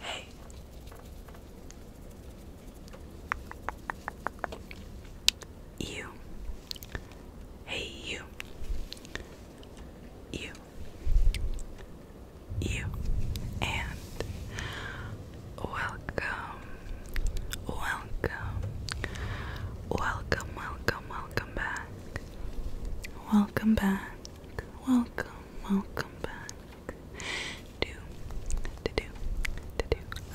hey. You. Hey you. You you and welcome, welcome, welcome, welcome, welcome back, welcome back, welcome, welcome back to to do to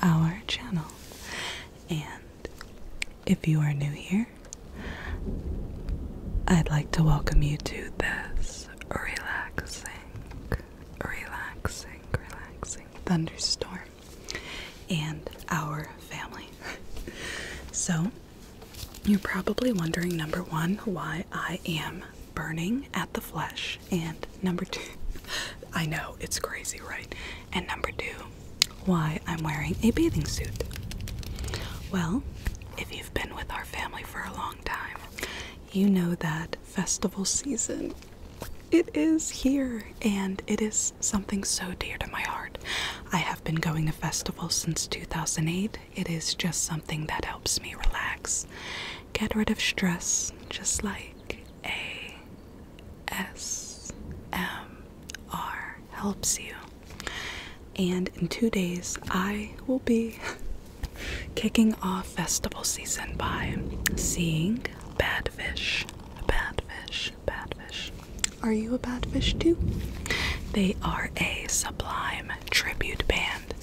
our channel. And if you are new here, I'd like to welcome you to this relaxing relaxing, relaxing thunderstorm and our family. so, you're probably wondering number one, why I am burning at the flesh, and number two, I know it's crazy, right? And number two, why I'm wearing a bathing suit. Well, if you've been with our family for a long time, you know that festival season it is here and it is something so dear to my heart. I have been going to festivals since 2008. It is just something that helps me relax, get rid of stress, just like a S M R helps you. And in two days, I will be Kicking off festival season by seeing bad fish, bad fish, bad fish. Are you a bad fish too? They are a sublime tribute band,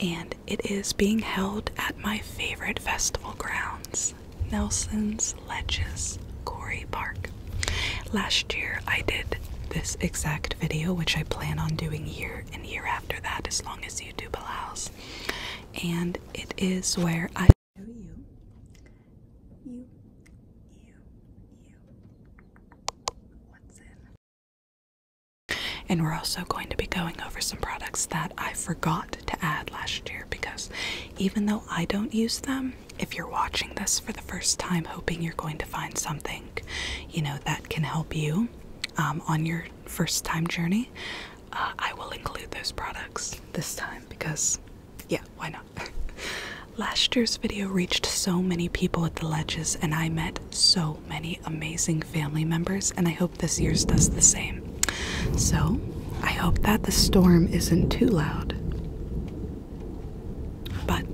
and it is being held at my favorite festival grounds, Nelson's Ledges, Quarry Park. Last year I did this exact video, which I plan on doing year in year after that as long as YouTube allows. And it is where I show And we're also going to be going over some products that I forgot to add last year because even though I don't use them, if you're watching this for the first time, hoping you're going to find something, you know, that can help you, um, on your first time journey, uh, I will include those products this time because, yeah, why not? Last year's video reached so many people at the ledges, and I met so many amazing family members, and I hope this year's does the same. So, I hope that the storm isn't too loud. But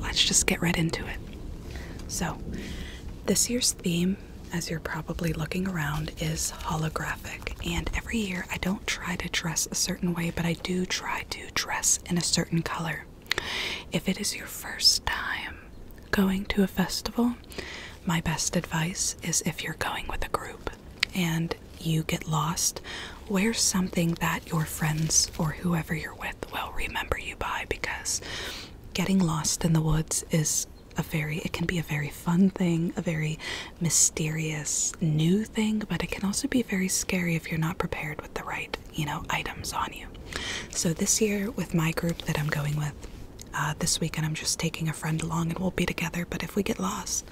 let's just get right into it. So, this year's theme, as you're probably looking around, is holographic. And every year I don't try to dress a certain way, but I do try to dress in a certain color. If it is your first time going to a festival, my best advice is if you're going with a group and you get lost, wear something that your friends or whoever you're with will remember you by because getting lost in the woods is a very it can be a very fun thing, a very mysterious new thing, but it can also be very scary if you're not prepared with the right, you know, items on you. So this year with my group that I'm going with, uh, this weekend I'm just taking a friend along and we'll be together, but if we get lost,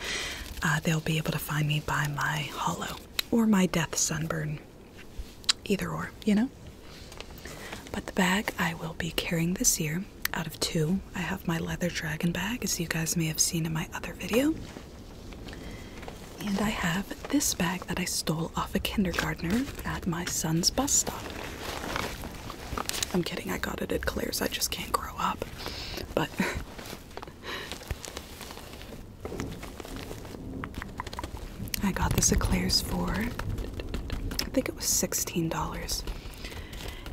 uh, they'll be able to find me by my hollow or my death sunburn either or, you know? But the bag I will be carrying this year out of two. I have my leather dragon bag, as you guys may have seen in my other video. And I have this bag that I stole off a kindergartner at my son's bus stop. I'm kidding, I got it at Claire's, I just can't grow up. But I got this eclairs for I think it was $16.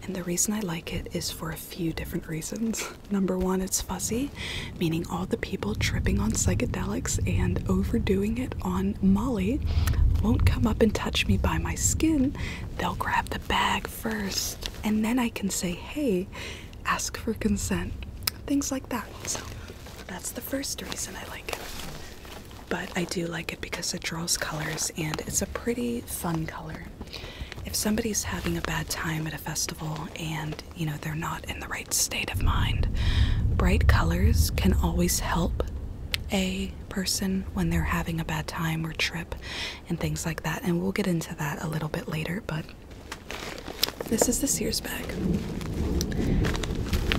And the reason I like it is for a few different reasons. Number one, it's fuzzy, meaning all the people tripping on psychedelics and overdoing it on Molly won't come up and touch me by my skin. They'll grab the bag first, and then I can say, hey, ask for consent. Things like that. So that's the first reason I like it but I do like it because it draws colors and it's a pretty fun color. If somebody's having a bad time at a festival and you know they're not in the right state of mind, bright colors can always help a person when they're having a bad time or trip and things like that. And we'll get into that a little bit later, but this is the Sears bag.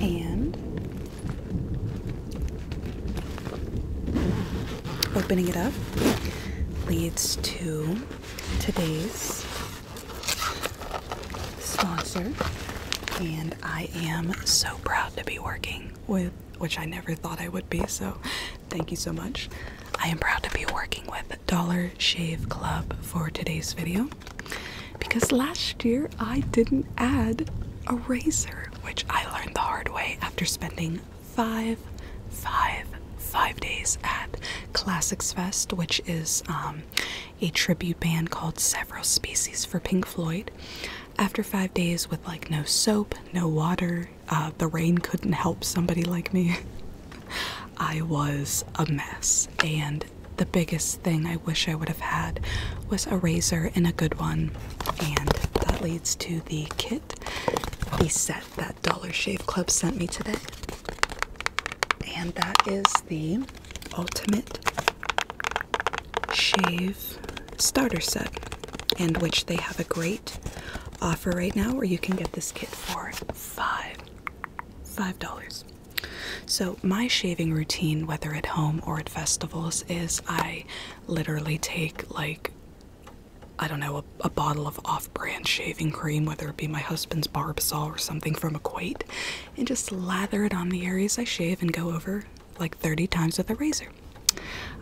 And Opening it up leads to today's sponsor, and I am so proud to be working with, which I never thought I would be, so thank you so much. I am proud to be working with Dollar Shave Club for today's video because last year I didn't add a razor, which I learned the hard way after spending five, five, five days at Classics Fest, which is um, a tribute band called Several Species for Pink Floyd. After five days with like no soap, no water, uh, the rain couldn't help somebody like me. I was a mess, and the biggest thing I wish I would have had was a razor and a good one. And that leads to the kit, the set that Dollar Shave Club sent me today. And that is the Ultimate Shave Starter Set, and which they have a great offer right now where you can get this kit for five. $5. So, my shaving routine, whether at home or at festivals, is I literally take like I don't know, a, bottle of off brand shaving cream, whether it be my husband's Barbasol or something from Equate, and just lather it on the areas I shave and go over like 30 times with a razor.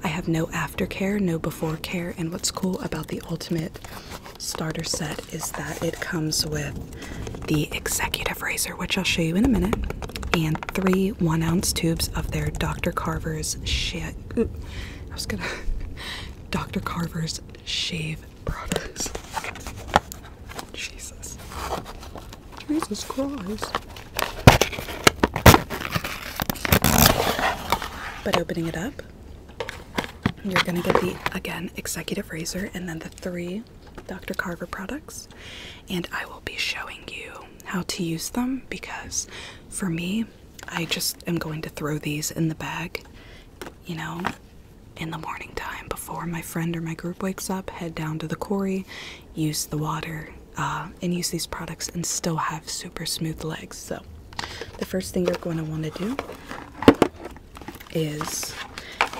I have no aftercare, no before care, and what's cool about the Ultimate Starter Set is that it comes with the executive razor, which I'll show you in a minute, and three one ounce tubes of their Dr. Carver's shit. I was gonna. Dr. Carver's shave products. Jesus. Jesus Christ. But opening it up, you're gonna get the, again, executive razor and then the three Dr. Carver products, and I will be showing you how to use them because for me, I just am going to throw these in the bag, you know, in the morning time before my friend or my group wakes up, head down to the quarry, use the water, uh, and use these products and still have super smooth legs. So, the first thing you're going to want to do is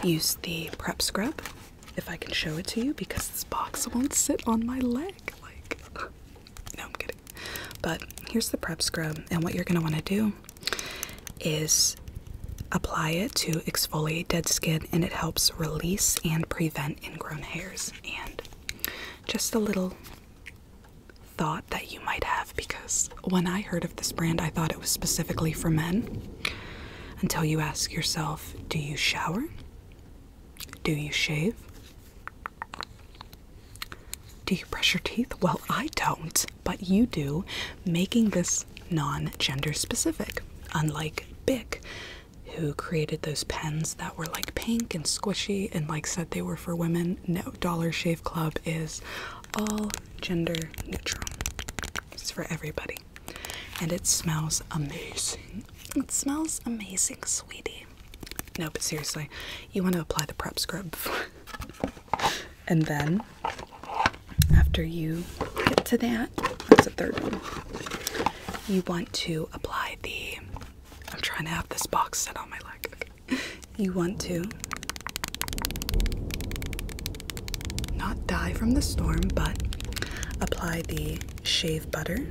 use the prep scrub if I can show it to you because this box won't sit on my leg. Like, no, I'm kidding. But here's the prep scrub, and what you're gonna want to do is apply it to exfoliate dead skin, and it helps release and prevent ingrown hairs. And just a little thought that you might have because when I heard of this brand, I thought it was specifically for men. Until you ask yourself, do you shower? Do you shave? Do you brush your teeth? Well, I don't, but you do, making this non gender specific, unlike Bic, who created those pens that were like pink and squishy and like said they were for women. No, Dollar Shave Club is all gender neutral. It's for everybody. And it smells amazing. It smells amazing, sweetie. No, but seriously, you want to apply the prep scrub and then, after you get to that, that's the third one. You want to apply the. I'm trying to have this box set on my leg. You want to not die from the storm, but apply the shave butter,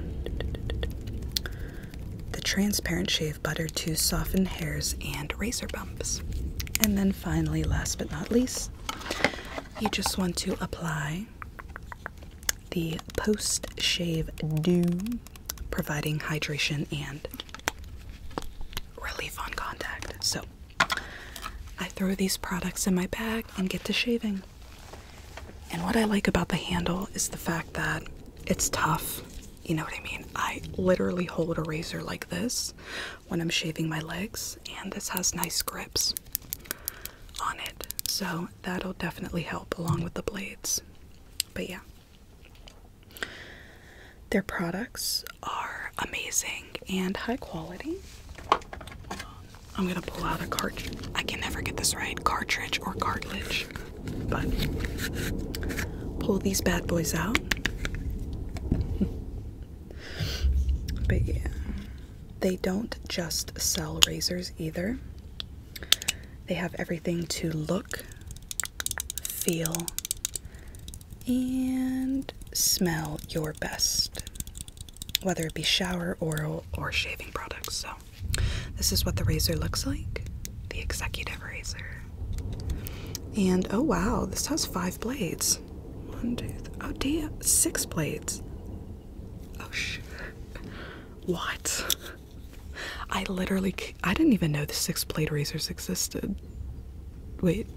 the transparent shave butter to soften hairs and razor bumps. And then finally, last but not least, you just want to apply the post shave dew, providing hydration and relief on contact. So, I throw these products in my bag and get to shaving. And what I like about the handle is the fact that it's tough. You know what I mean? I literally hold a razor like this when I'm shaving my legs, and this has nice grips on it. So that'll definitely help along with the blades. But yeah. Their products are amazing and high quality. I'm gonna pull out a cartridge. I can never get this right cartridge or cartilage. But pull these bad boys out. but yeah, they don't just sell razors either, they have everything to look, feel, and smell your best whether it be shower, oral, or shaving products. So, this is what the razor looks like the executive razor. And oh wow, this has five blades. One, two, three. Oh, dear, six blades. Oh, shit. What? I literally, I didn't even know the six blade razors existed. Wait,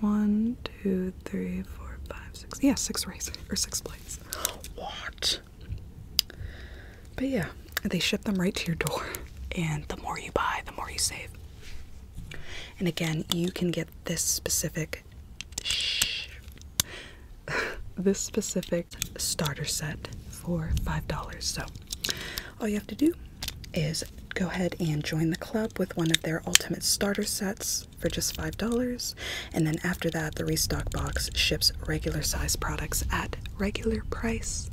one, two, three, four, five, six. Yeah, six rays or six blades. What? But yeah, they ship them right to your door. And the more you buy, the more you save. And again, you can get this specific shh, this specific starter set for $5. So all you have to do is go ahead and join the club with one of their ultimate starter sets for just $5. And then after that, the restock box ships regular size products at regular price.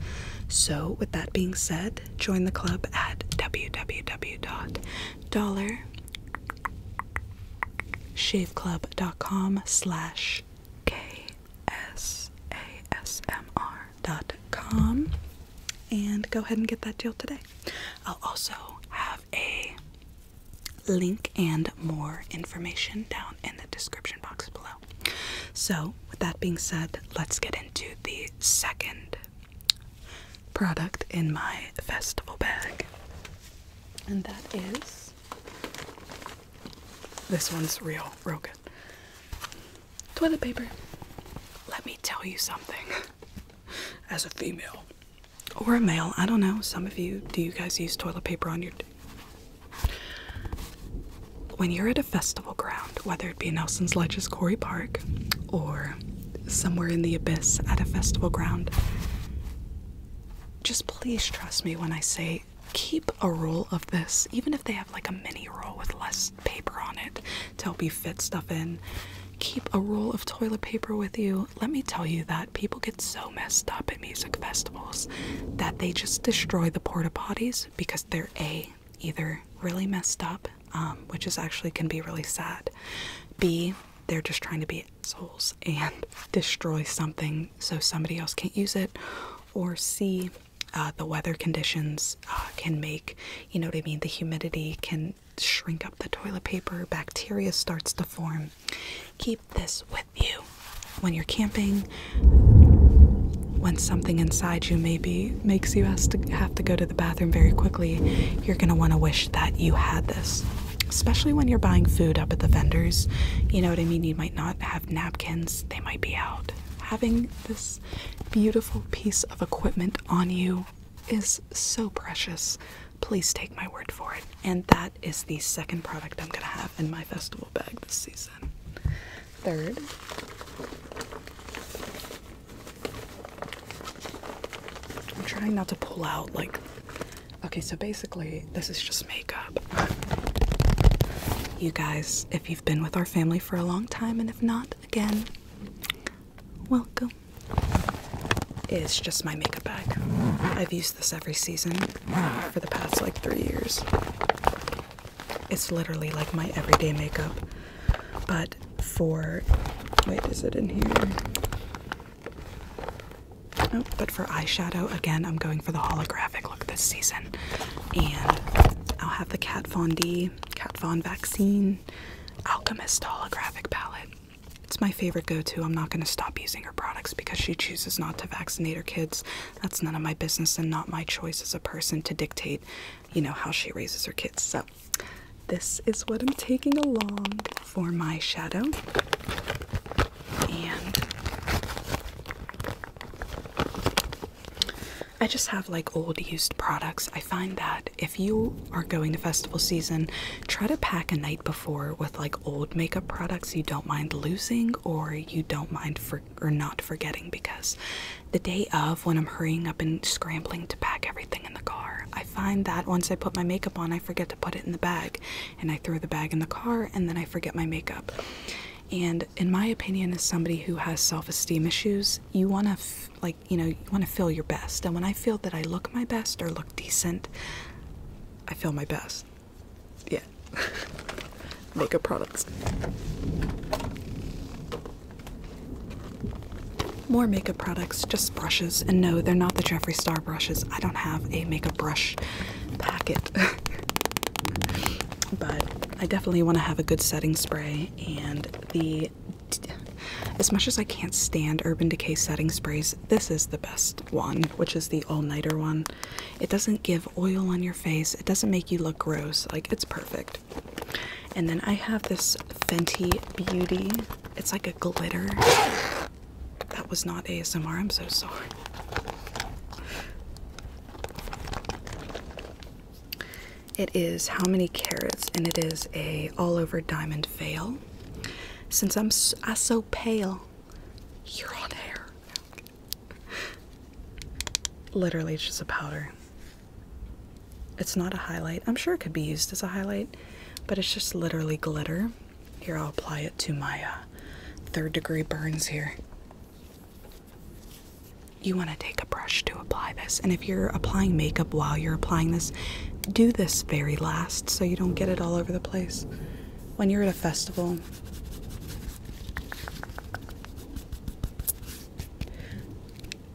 So, with that being said, join the club at www.dollarshaveclub.com slash com, and go ahead and get that deal today. I'll also have a link and more information down in the description box below. So, with that being said, let's get into the second product in my festival bag, and that is this one's real, real good. Toilet paper. Let me tell you something. As a female, or a mail. I don't know. Some of you, do you guys use toilet paper on your? When you're at a festival ground, whether it be Nelson's Ledges Quarry Park or somewhere in the abyss at a festival ground, just please trust me when I say keep a roll of this, even if they have like a mini roll with less paper on it to help you fit stuff in keep a roll of toilet paper with you. Let me tell you that people get so messed up at music festivals that they just destroy the porta potties because they're A, either really messed up, um, which is actually can be really sad, B, they're just trying to be assholes and destroy something so somebody else can't use it, or C, uh, the weather conditions uh, can make, you know what I mean, the humidity can shrink up the toilet paper, bacteria starts to form. Keep this with you when you're camping. When something inside you maybe makes you have to go to the bathroom very quickly, you're going to want to wish that you had this. Especially when you're buying food up at the vendors, you know what I mean? You might not have napkins, they might be out. Having this beautiful piece of equipment on you is so precious. Please take my word for it. And that is the second product I'm going to have in my festival bag this season. Third, I'm trying not to pull out like. Okay, so basically, this is just makeup. You guys, if you've been with our family for a long time, and if not, again, welcome. It's just my makeup bag. I've used this every season for the past like three years. It's literally like my everyday makeup, but for wait, is it in here? No, but for eyeshadow, again, I'm going for the holographic look this season. And I'll have the Kat Von D, Kat Von Vaccine Alchemist holographic palette. It's my favorite go to. I'm not going to stop using her products because she chooses not to vaccinate her kids. That's none of my business and not my choice as a person to dictate, you know, how she raises her kids. So, this is what I'm taking along for my shadow. And I just have like old used products. I find that if you are going to festival season, try to pack a night before with like old makeup products you don't mind losing or you don't mind for or not forgetting because the day of when I'm hurrying up and scrambling to pack everything in the car, I find that once I put my makeup on, I forget to put it in the bag and I throw the bag in the car and then I forget my makeup. And in my opinion, as somebody who has self-esteem issues, you want to like you know, you want to feel your best. And when I feel that I look my best or look decent, I feel my best. Yeah. Makeup products. More makeup products, just brushes. And no, they're not the Jeffree Star brushes. I don't have a makeup brush packet. but I definitely want to have a good setting spray and the as much as I can't stand Urban Decay setting sprays, this is the best one, which is the all nighter one. It doesn't give oil on your face, it doesn't make you look gross, like it's perfect. And then I have this Fenty Beauty, it's like a glitter. That was not ASMR, I'm so sorry. It is how many carats and it is a all over diamond veil since I'm so pale, you hair. Literally, it's just a powder. It's not a highlight. I'm sure it could be used as a highlight, but it's just literally glitter. Here, I'll apply it to my uh, third degree burns here. You want to take a brush to apply this, and if you're applying makeup while you're applying this, do this very last so you don't get it all over the place when you're at a festival.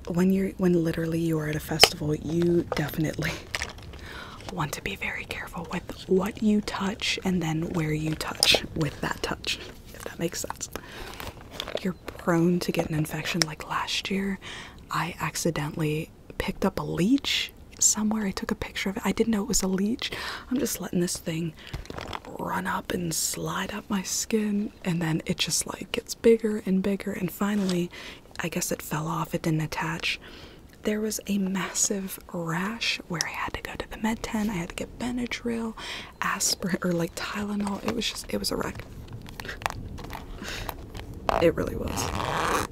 When you're when literally you are at a festival, you definitely want to be very careful with what you touch and then where you touch with that touch, if that makes sense. You're prone to get an infection like last year. I accidentally picked up a leech somewhere. I took a picture of it. I didn't know it was a leech. I'm just letting this thing run up and slide up my skin, and then it just like gets bigger and bigger. And finally, I guess it fell off, it didn't attach. There was a massive rash where I had to go to the med tent. I had to get Benadryl, aspirin, or like Tylenol. It was just, it was a wreck. It really was.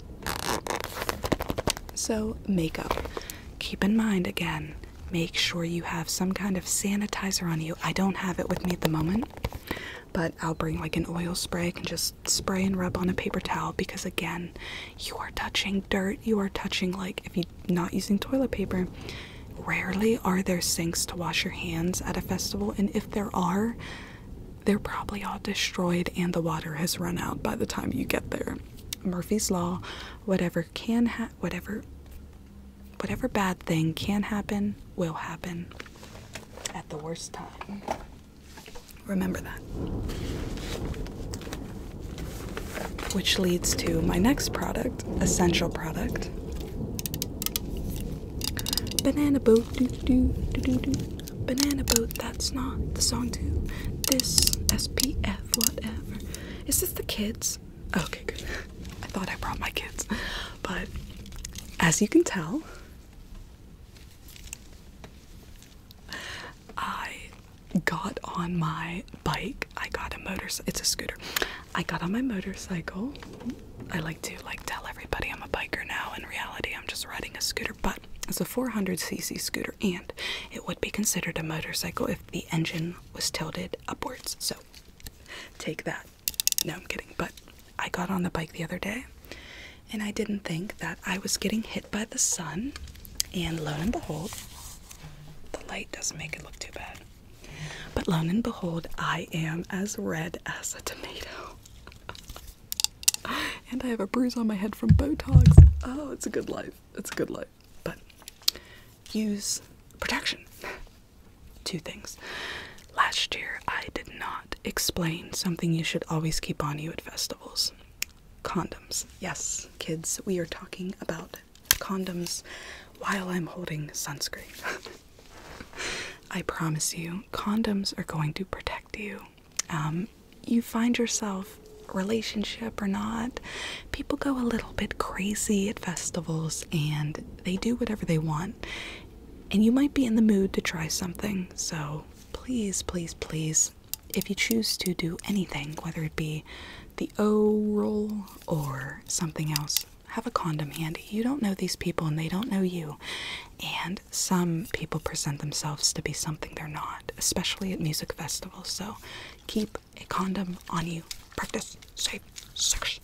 So, makeup. Keep in mind again, make sure you have some kind of sanitizer on you. I don't have it with me at the moment, but I'll bring like an oil spray. I can just spray and rub on a paper towel because, again, you are touching dirt. You are touching, like, if you're not using toilet paper, rarely are there sinks to wash your hands at a festival. And if there are, they're probably all destroyed, and the water has run out by the time you get there. Murphy's Law: whatever can ha whatever, whatever bad thing can happen will happen at the worst time. Remember that. Which leads to my next product, essential product. Banana boat. Doo -doo, doo -doo -doo. Banana boat, that's not the song too. This SPF, whatever. Is this the kids? Okay, good. I thought I brought my kids. But as you can tell, I got on my bike. I got a motorcycle. It's a scooter. I got on my motorcycle. I like to like tell everybody I'm a biker now. In reality, I'm just riding a scooter but it's a 400cc scooter and it would be considered a motorcycle if the engine was tilted upwards. So take that. No, I'm kidding. But I got on the bike the other day and I didn't think that I was getting hit by the sun. And lo and behold, the light doesn't make it look too bad. But lo and behold, I am as red as a tomato. and I have a bruise on my head from Botox. Oh, it's a good life. It's a good life. But use protection. Two things. Last year, I did not explain something you should always keep on you at festivals condoms. Yes, kids, we are talking about condoms while I'm holding sunscreen. I promise you, condoms are going to protect you um, you find yourself, relationship or not, people go a little bit crazy at festivals and they do whatever they want. And you might be in the mood to try something. So please, please, please, if you choose to do anything, whether it be the oral or something else, have a condom handy. You don't know these people and they don't know you. And some people present themselves to be something they're not, especially at music festivals. So keep a condom on you. Practice safe sex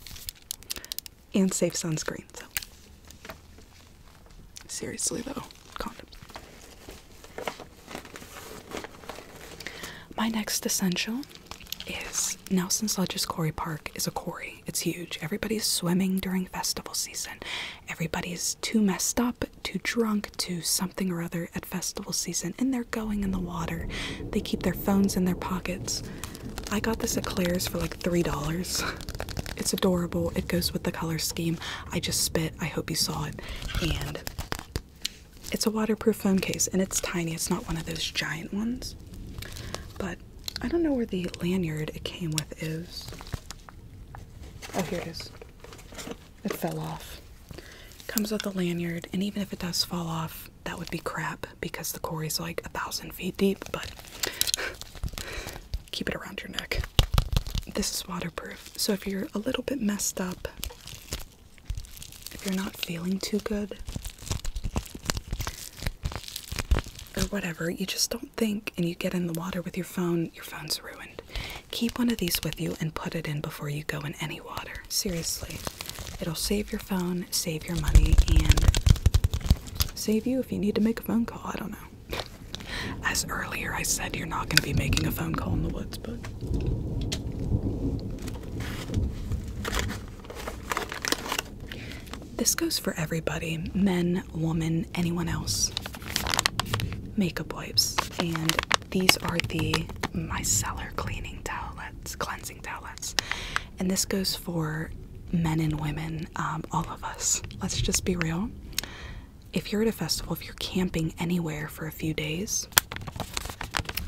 and safe sunscreen. So seriously though, condoms. My next essential is Nelson's Ledges Quarry Park is a quarry. It's huge. Everybody's swimming during festival season. Everybody's too messed up, too drunk, too something or other at festival season, and they're going in the water. They keep their phones in their pockets. I got this at Claire's for like $3. It's adorable. It goes with the color scheme. I just spit. I hope you saw it. And it's a waterproof phone case, and it's tiny. It's not one of those giant ones. But I don't know where the lanyard it came with is. Oh, here it is. It fell off. Comes with a lanyard, and even if it does fall off, that would be crap because the quarry's like a thousand feet deep, but keep it around your neck. This is waterproof, so if you're a little bit messed up, if you're not feeling too good, or whatever, you just don't think and you get in the water with your phone, your phone's ruined. Keep one of these with you and put it in before you go in any water. Seriously, it'll save your phone, save your money, and save you if you need to make a phone call. I don't know. As earlier I said, you're not going to be making a phone call in the woods, but. This goes for everybody men, women anyone else. Makeup wipes. And these are the micellar cleaning towelettes, cleansing towelettes. And this goes for men and women, um, all of us. Let's just be real. If you're at a festival, if you're camping anywhere for a few days,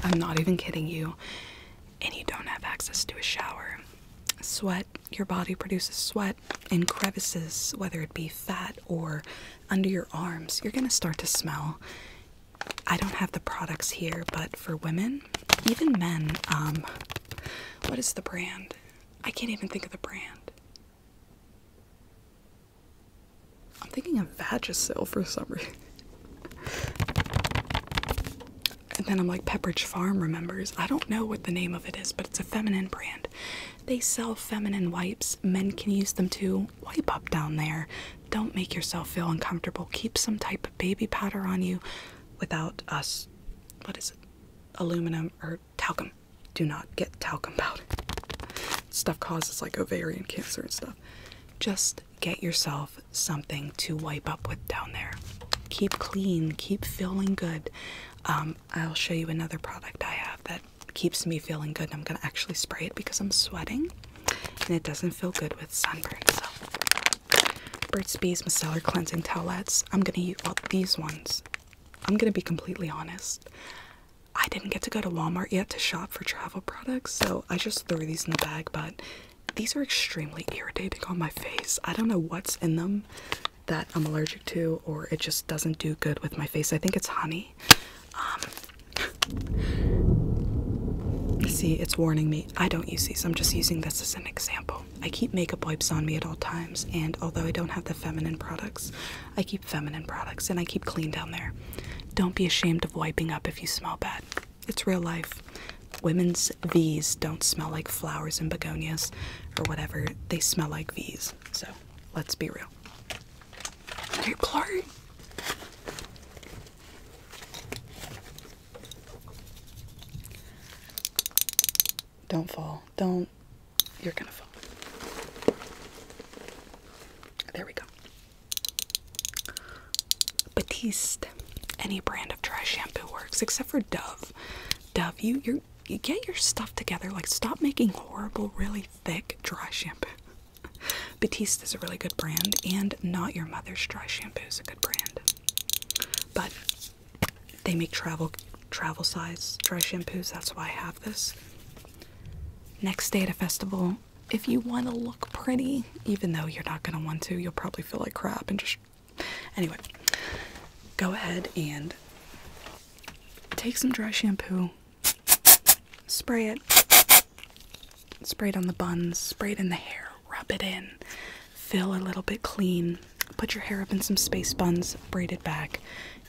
I'm not even kidding you, and you don't have access to a shower, sweat, your body produces sweat. In crevices, whether it be fat or under your arms, you're going to start to smell. I don't have the products here, but for women, even men, um, what is the brand? I can't even think of the brand. I'm thinking of Vagisil for some reason. and then I'm like, Pepperidge Farm remembers. I don't know what the name of it is, but it's a feminine brand. They sell feminine wipes. Men can use them too. Wipe up down there. Don't make yourself feel uncomfortable. Keep some type of baby powder on you without us. What is it? Aluminum or talcum. Do not get talcum powder. Stuff causes like ovarian cancer and stuff. Just get yourself something to wipe up with down there. Keep clean, keep feeling good. Um, um, I'll show you another product I have that keeps me feeling good. I'm gonna actually spray it because I'm sweating and it doesn't feel good with sunburn. So, Burt's Bees Micellar Cleansing Towelettes. I'm gonna use well, these ones. I'm gonna be completely honest. I didn't get to go to Walmart yet to shop for travel products, so I just threw these in the bag, but these are extremely irritating on my face. I don't know what's in them that I'm allergic to, or it just doesn't do good with my face. I think it's honey. Um, see, it's warning me. I don't use these, I'm just using this as an example. I keep makeup wipes on me at all times, and although I don't have the feminine products, I keep feminine products and I keep clean down there. Don't be ashamed of wiping up if you smell bad. It's real life. Women's V's don't smell like flowers and begonias or whatever, they smell like V's. So let's be real. People are don't fall. Don't. You're gonna fall. There we go. Batiste. Any brand of dry shampoo works, except for Dove. Dove, you you're you get your stuff together. Like, stop making horrible, really thick dry shampoo. Batiste is a really good brand, and Not Your Mother's Dry Shampoo is a good brand. But they make travel travel size dry shampoos. That's why I have this. Next day at a festival, if you want to look pretty, even though you're not going to want to, you'll probably feel like crap and just. Anyway, go ahead and take some dry shampoo, spray it, spray it on the buns, spray it in the hair, rub it in, feel a little bit clean, put your hair up in some space buns, braid it back.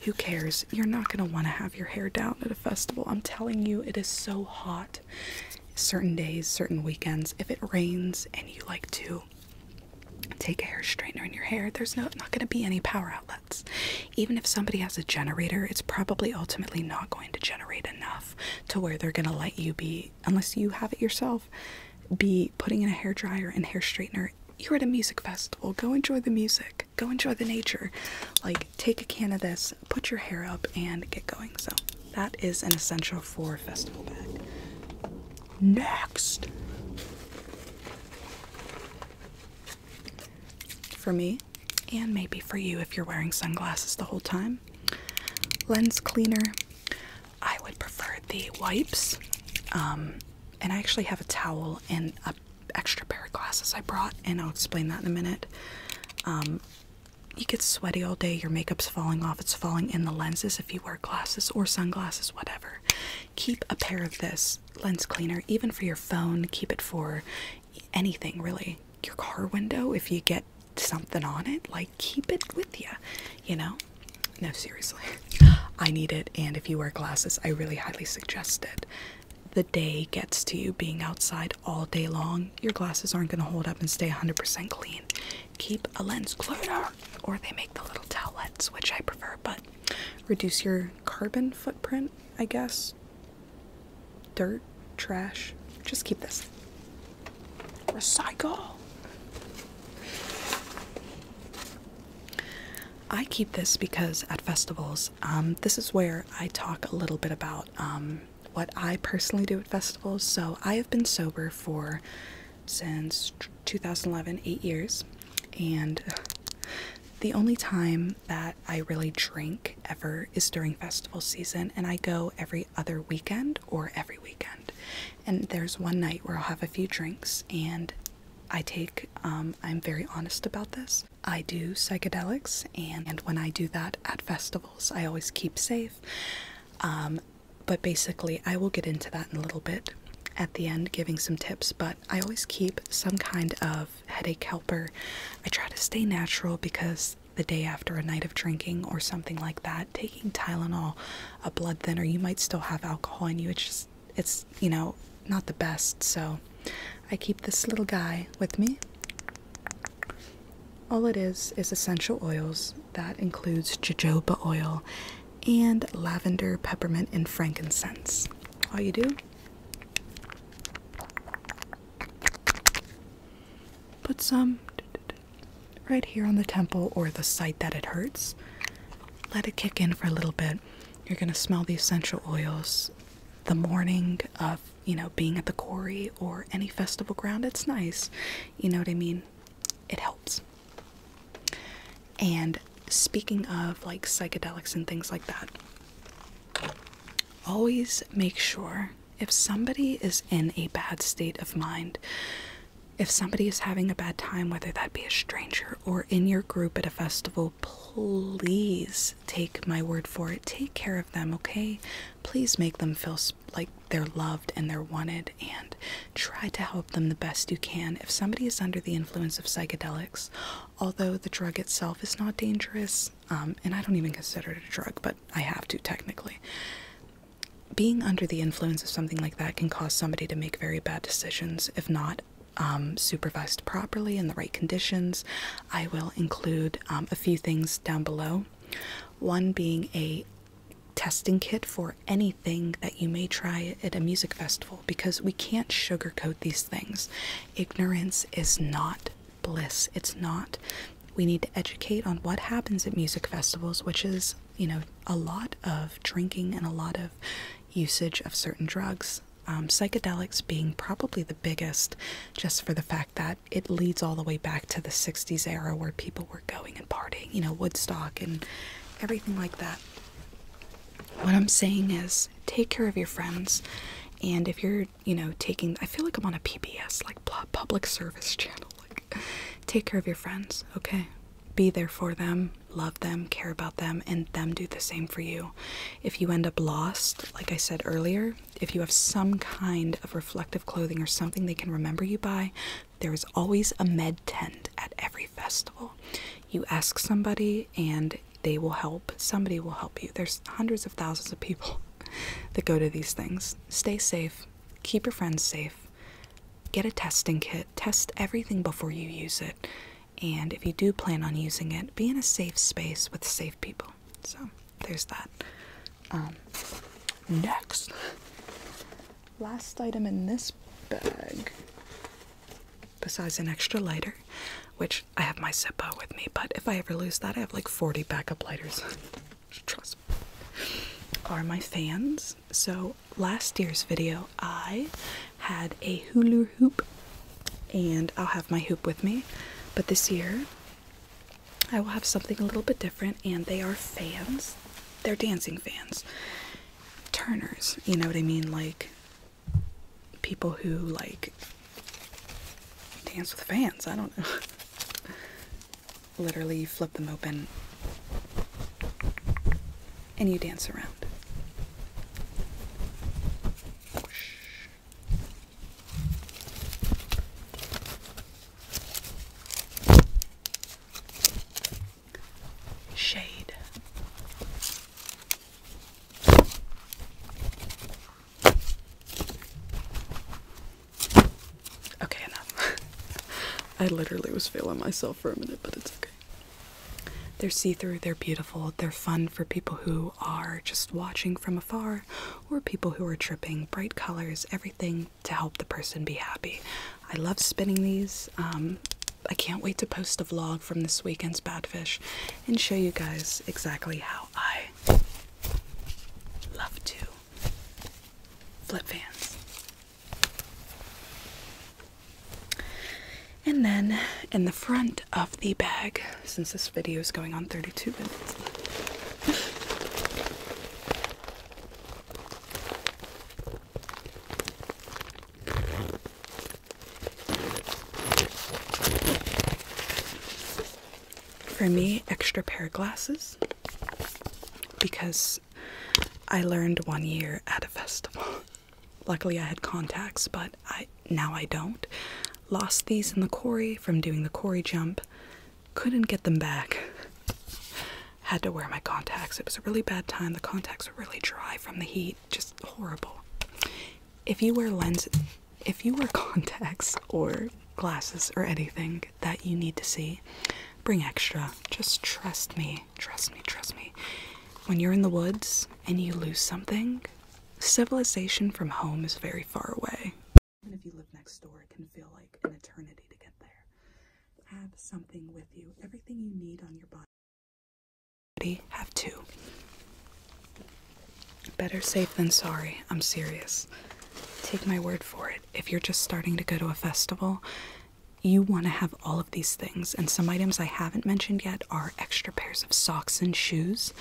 Who cares? You're not going to want to have your hair down at a festival. I'm telling you, it is so hot. Certain days, certain weekends, if it rains and you like to take a hair straightener in your hair, there's not going to be any power outlets. Even if somebody has a generator, it's probably ultimately not going to generate enough to where they're going to let you be, unless you have it yourself, be putting in a hair dryer and hair straightener. You're at a music festival. Go enjoy the music. Go enjoy the nature. Like, take a can of this, put your hair up, and get going. So, that is an essential for festival bag. Next. For me, and maybe for you if you're wearing sunglasses the whole time, lens cleaner. I would prefer the wipes. Um, and I actually have a towel and an extra pair of glasses I brought, and I'll explain that in a minute. Um, you get sweaty all day, your makeup's falling off, it's falling in the lenses if you wear glasses or sunglasses, whatever keep a pair of this lens cleaner, even for your phone, keep it for anything really. Your car window, if you get something on it, like keep it with you, you know? No, seriously. I need it, and if you wear glasses, I really highly suggest it. The day gets to you being outside all day long, your glasses aren't going to hold up and stay 100% clean. Keep a lens cleaner, or they make the little towelettes, which I prefer, but reduce your carbon footprint, I guess. Dirt, trash. Just keep this. Recycle. I keep this because at festivals, um, this is where I talk a little bit about um, what I personally do at festivals. So I have been sober for since 2011, eight years, and the only time that I really drink ever is during festival season, and I go every other weekend or every weekend. And there's one night where I'll have a few drinks, and I take, um, I'm very honest about this. I do psychedelics, and, when I do that at festivals, I always keep safe. Um, but basically, I will get into that in a little bit at the end giving some tips, but I always keep some kind of headache helper. I try to stay natural because the day after a night of drinking or something like that, taking Tylenol, a blood thinner, you might still have alcohol in you. It's just, it's, you know, not the best. So I keep this little guy with me. All it is is essential oils. That includes jojoba oil and lavender, peppermint, and frankincense. All you do, put some right here on the temple or the site that it hurts. Let it kick in for a little bit. You're going to smell the essential oils the morning of, you know, being at the quarry or any festival ground. It's nice. You know what I mean? It helps. And speaking of like psychedelics and things like that, always make sure if somebody is in a bad state of mind, if somebody is having a bad time, whether that be a stranger or in your group at a festival, please take my word for it. Take care of them, okay? Please make them feel like they're loved and they're wanted and Try to help them the best you can if somebody is under the influence of psychedelics. Although the drug itself is not dangerous, um, and I don't even consider it a drug, but I have to technically. Being under the influence of something like that can cause somebody to make very bad decisions if not um, supervised properly in the right conditions. I will include um, a few things down below. One being a testing kit for anything that you may try at a music festival because we can't sugarcoat these things. Ignorance is not bliss. It's not. We need to educate on what happens at music festivals, which is, you know, a lot of drinking and a lot of usage of certain drugs. Um, psychedelics being probably the biggest, just for the fact that it leads all the way back to the 60s era where people were going and partying, you know, Woodstock and everything like that what I'm saying is take care of your friends. And if you're, you know, taking, I feel like I'm on a PBS, like public service channel. Like, take care of your friends, okay? Be there for them, love them, care about them, and them do the same for you. If you end up lost, like I said earlier, if you have some kind of reflective clothing or something they can remember you by, there is always a med tent at every festival you ask somebody and they will help somebody will help you there's hundreds of thousands of people that go to these things stay safe keep your friends safe get a testing kit test everything before you use it and if you do plan on using it be in a safe space with safe people so there's that um, next last item in this bag besides an extra lighter, which I have my Zippo with me, but if I ever lose that, I have like 40 backup lighters. Trust Are my fans. So last year's video, I had a hula hoop, and I'll have my hoop with me, but this year, I will have something a little bit different, and they are fans. They're dancing fans turners, you know what I mean? Like people who like dance with fans, I don't know. Literally, you flip them open and you dance around shade. Okay, enough. I literally was feeling myself for a minute, but it's okay. They're see through, they're beautiful, they're fun for people who are just watching from afar or people who are tripping. Bright colors, everything to help the person be happy. I love spinning these. Um, I can't wait to post a vlog from this weekend's bad fish and show you guys exactly how I love to flip fans. And then in the front of the bag, since this video is going on 32 minutes. For me, extra pair of glasses because I learned one year at a festival. Luckily, I had contacts, but I now I don't. Lost these in the quarry from doing the quarry jump. Couldn't get them back. Had to wear my contacts. It was a really bad time. The contacts were really dry from the heat just horrible. If you wear lenses, if you wear contacts or glasses or anything that you need to see, bring extra. Just trust me, trust me, trust me. When you're in the woods and you lose something, civilization from home is very far away. Even if you live next door, it can feel like an eternity to get there. Have something with you, everything you need on your body have two. Better safe than sorry, I'm serious. Take my word for it. If you're just starting to go to a festival, you want to have all of these things, and some items I haven't mentioned yet are extra pairs of socks and shoes.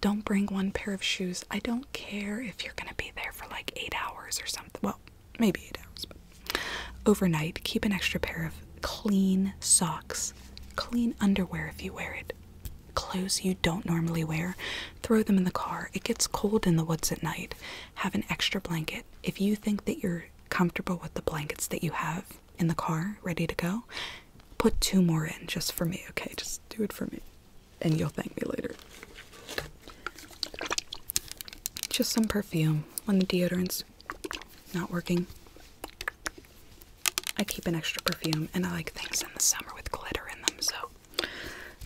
Don't bring one pair of shoes. I don't care if you're going to be there for like eight hours or something. Well, maybe eight hours, Overnight, keep an extra pair of clean socks, clean underwear if you wear it, clothes you don't normally wear. Throw them in the car. It gets cold in the woods at night. Have an extra blanket. If you think that you're comfortable with the blankets that you have in the car, ready to go, put two more in just for me, okay? Just do it for me, and you'll thank me later. Just some perfume. on the deodorant's not working. I keep an extra perfume and I like things in the summer with glitter in them, so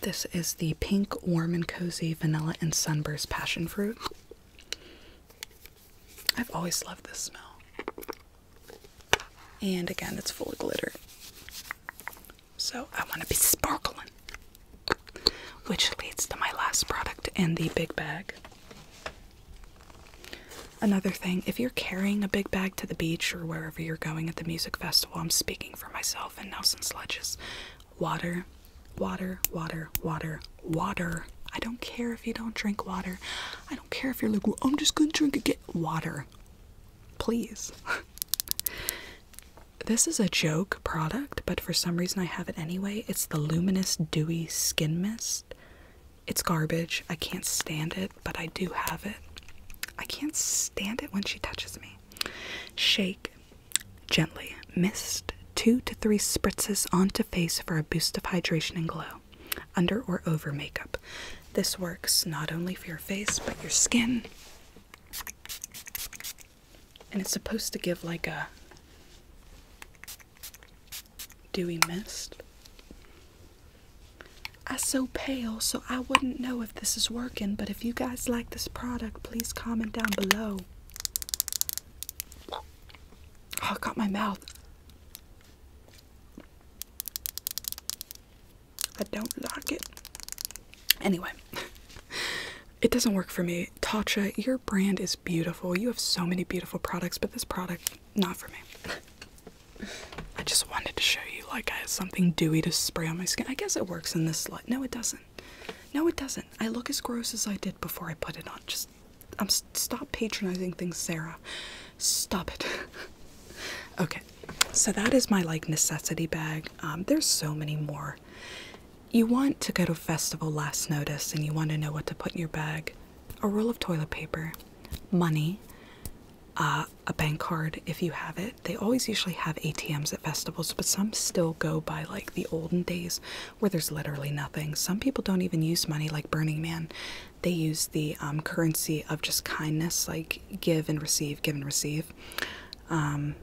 this is the pink warm and cozy vanilla and sunburst passion fruit. I've always loved this smell. And again, it's full of glitter. So I want to be sparkling. Which leads to my last product in the big bag. Another thing, if you're carrying a big bag to the beach or wherever you're going at the music festival, I'm speaking for myself and Nelson Sledges. Water, water, water, water, water. I don't care if you don't drink water. I don't care if you're like, well, I'm just gonna drink again. Water. Please. this is a joke product, but for some reason I have it anyway. It's the Luminous Dewy Skin Mist. It's garbage. I can't stand it, but I do have it. I can't stand it when she touches me. Shake gently. Mist two to three spritzes onto face for a boost of hydration and glow. Under or over makeup. This works not only for your face, but your skin. And it's supposed to give like a do we Mist. I so pale, so I wouldn't know if this is working, but if you guys like this product, please comment down below. Oh, I got my mouth. I don't like it. Anyway, it doesn't work for me. Tatcha, you're brand is beautiful. You have so many beautiful products, but this product, not for me. I just wanted to show you like I have something dewy to spray on my skin. I guess it works in this light. No, it doesn't. No, it doesn't. I look as gross as I did before I put it on. Just, I'm stop patronizing things, Sarah. Stop it. okay, so that is my like necessity bag. Um, there's so many more. You want to go to a festival last notice and you want to know what to put in your bag a roll of toilet paper, money, uh, a bank card if you have it. They always usually have ATMs at festivals, but some still go by like the olden days where there's literally nothing. Some people don't even use money like Burning Man. They use the um, currency of just kindness, like give and receive, give and receive. Um,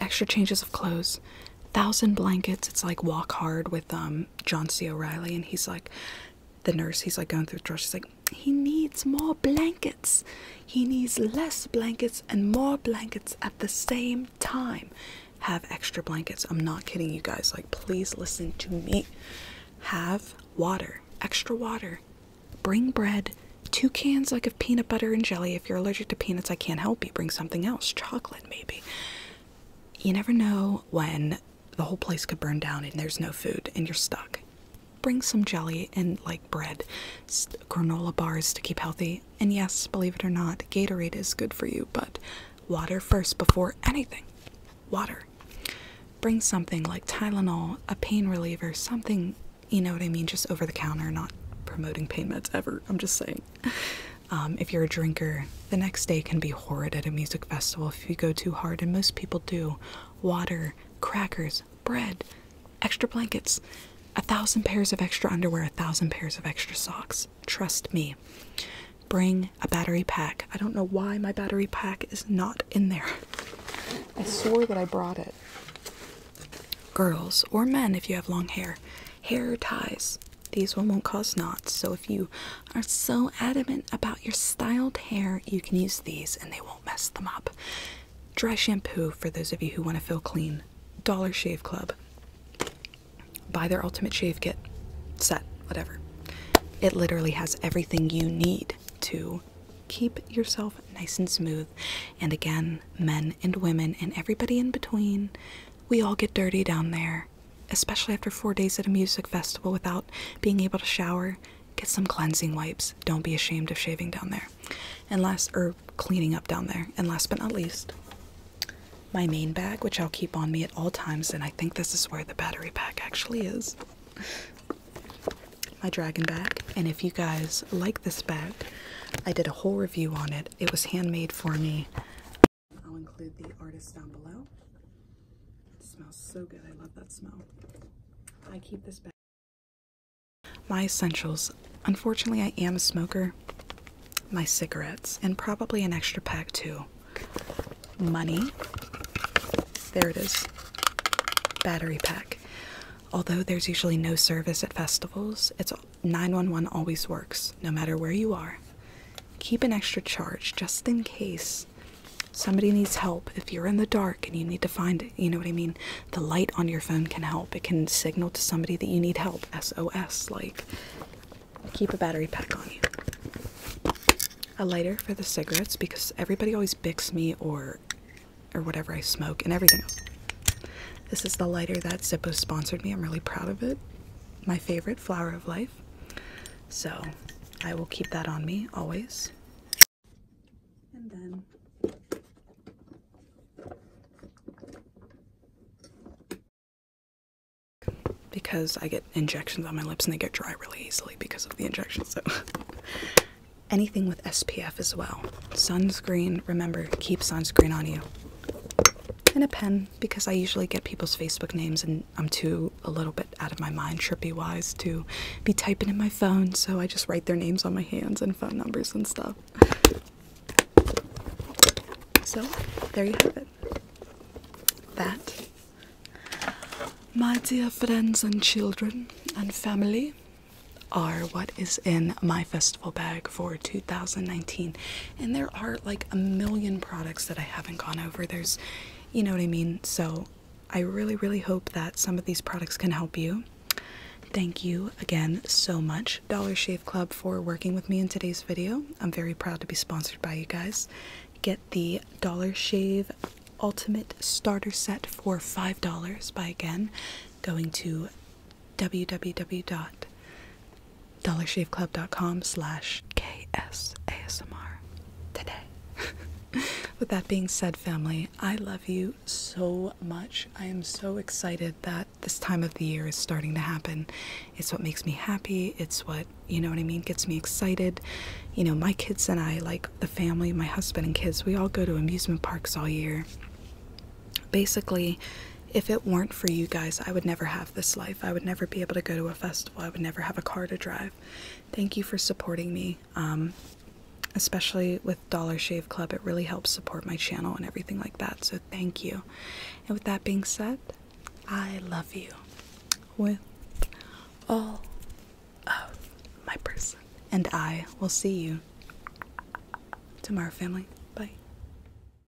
extra changes of clothes thousand blankets. It's like Walk Hard with um John C. O'Reilly, and he's like the nurse. He's like going through the drawer. She's like, he needs more blankets. He needs less blankets and more blankets at the same time. Have extra blankets. I'm not kidding you guys. Like, please listen to me. Have water, extra water. Bring bread, two cans like of peanut butter and jelly. If you're allergic to peanuts, I can't help you. Bring something else, chocolate maybe. You never know when the whole place could burn down and there's no food and you're stuck. Bring some jelly and like bread, granola bars to keep healthy. And yes, believe it or not, Gatorade is good for you, but water first before anything. Water. Bring something like Tylenol, a pain reliever, something, you know what I mean, just over the counter, not promoting pain meds ever. I'm just saying. Um, if you're a drinker, the next day can be horrid at a music festival if you go too hard, and most people do. Water, crackers, bread, extra blankets, a thousand pairs of extra underwear, a thousand pairs of extra socks. Trust me. Bring a battery pack. I don't know why my battery pack is not in there. I swore that I brought it. Girls or men, if you have long hair, hair ties. These one won't cause knots, so if you are so adamant about your styled hair, you can use these and they won't mess them up. Dry shampoo for those of you who want to feel clean. Dollar Shave Club. Buy their ultimate shave kit, set, whatever. It literally has everything you need to keep yourself nice and smooth. And again, men and women and everybody in between, we all get dirty down there especially after four days at a music festival without being able to shower. Get some cleansing wipes. Don't be ashamed of shaving down there. And last, or cleaning up down there. And last but not least, my main bag, which I'll keep on me at all times. And I think this is where the battery pack actually is. My dragon bag. And if you guys like this bag, I did a whole review on it. It was handmade for me I'll include the artist down below. smells so good. I love that smell. I keep this bag. My essentials. Unfortunately, I am a smoker. My cigarettes, and probably an extra pack too. Money. There it is. Battery pack. Although there's usually no service at festivals, it's 911 always works, no matter where you are. Keep an extra charge just in case somebody needs help. If you're in the dark and you need to find, you know what I mean? The light on your phone can help. It can signal to somebody that you need help. SOS, like keep a battery pack on you. A lighter for the cigarettes because everybody always bicks me or or whatever I smoke and everything else. This is the lighter that Zippo sponsored me. I'm really proud of it my favorite flower of life. So I will keep that on me always. And then because I get injections on my lips and they get dry really easily because of the injections, So anything with SPF as well. Sunscreen, remember, keep sunscreen on you and a pen because I usually get people's Facebook names and I'm too a little bit out of my mind, trippy wise, to be typing in my phone, so I just write their names on my hands and phone numbers and stuff. So there you have it. That, my dear friends and children and family, are what is in my festival bag for 2019 and there are like a million products that I haven't gone over there's you know what I mean so I really really hope that some of these products can help you thank you again so much Dollar Shave Club for working with me in today's video I'm very proud to be sponsored by you guys get the Dollar Shave Ultimate Starter Set for $5 by again going to www dollarshaveclub.com slash ksasmr today. With that being said, family, I love you so much. I am so excited that this time of the year is starting to happen. It's what makes me happy. It's what, you know what I mean, gets me excited. You know, my kids and I, like the family, my husband and kids, we all go to amusement parks all year. Basically, if it weren't for you guys, I would never have this life. I would never be able to go to a festival. I would never have a car to drive. Thank you for supporting me, um, especially with Dollar Shave Club. It really helps support my channel and everything like that. So thank you. And with that being said, I love you with all of my purse, And I will see you tomorrow, family. Bye.